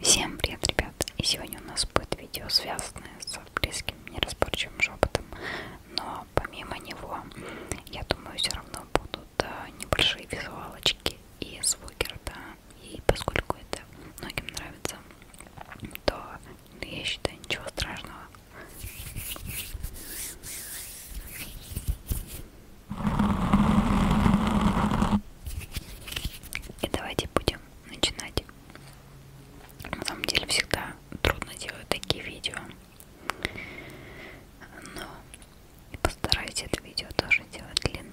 Всем привет, ребят! И сегодня у нас будет видео, связанное с близким неразборчивым шепотом. Но помимо него, я думаю, все равно будут э, небольшие визуалочки и звуки рта. И поскольку это многим нравится, то я считаю ничего страшного. И давайте будем начинать. На самом деле всегда трудно делать такие видео. Но постараюсь это видео тоже делать длинным.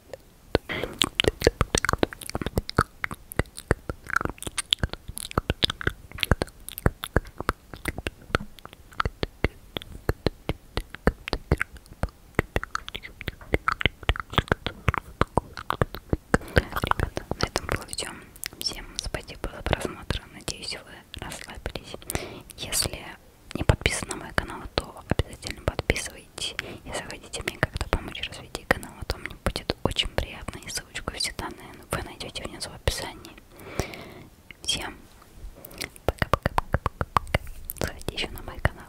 Ребята, на этом было все. Всем спасибо за просмотр. Надеюсь, вы расслабились. Если не подписаны на мой канал, то обязательно подписывайтесь быть и захотите мне как-то помочь развитию канала, а то мне будет очень приятно и ссылочку все данные вы найдете внизу в описании. Всем пока-пока-пока-пока-пока. Заходите еще на мой канал.